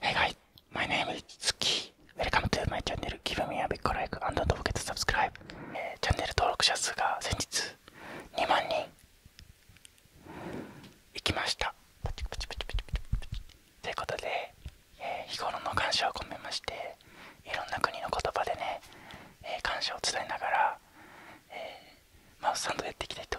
Hey guys, my name is Tsuki. Welcome to my channel. Give me a big like and don't forget to subscribe. チャンネル登録者数が先日2万人いきました。ということで、えー、日頃の感謝を込めまして、いろんな国の言葉でね、えー、感謝を伝えながら、えー、マウスサンドやっていきたいと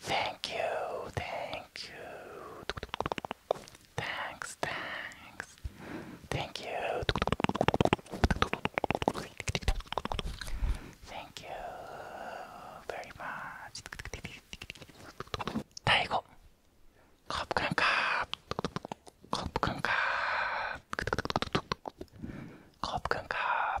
Thank you, thank you. Thanks, thanks. Thank you. Thank you very much. ไทยครับขอบคุณครับขอบคุณครับขอบคุณครับ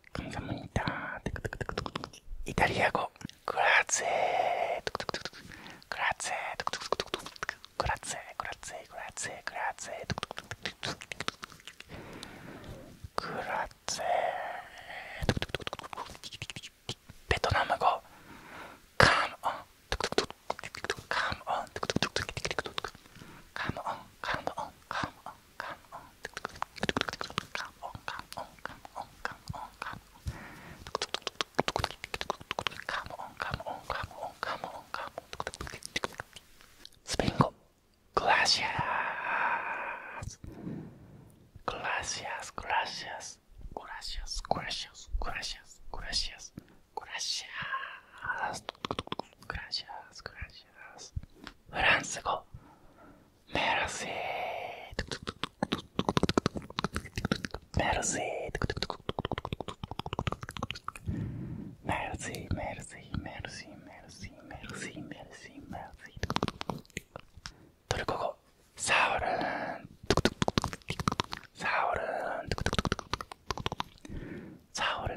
神様にダーテクテクテクテクイタリア語グラツェトクトクトクトクグラツェトクトクトクトクグラツェグラツェグラツェグラツェトクトクトクトクグラツェトクトクトクトクベトナム語カムオントクトクトクトクカムオントクトクトクトクカムオンカムオンカムオンカムオン come on, come on, come on, come on, come on, come on. Come on, come on, come on, come on, come on. Spingo. Gracias. Gracias, gracias. Gracias, gracias, gracias, gracias, gracias. Gracias, gracias. フランス語メルシーメルシーメルシーメルシーメルシーメルシーメルシーメルシーメルシートルコ語サウルンサウルンサウルン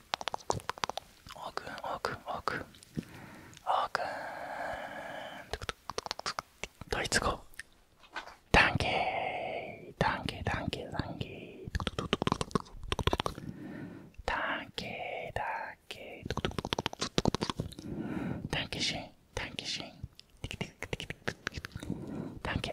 어근 어근 어근 어근 더이츠고 단계 단계 단계 단계 단계 단계 단계신 단계신 단계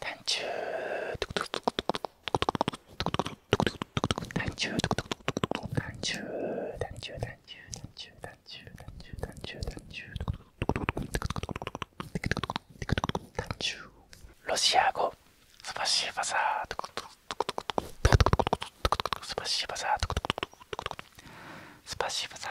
単中単中単中単中単中単中単中単中単中単中ロシア語スパシーバザースパシーバザースパシーバザー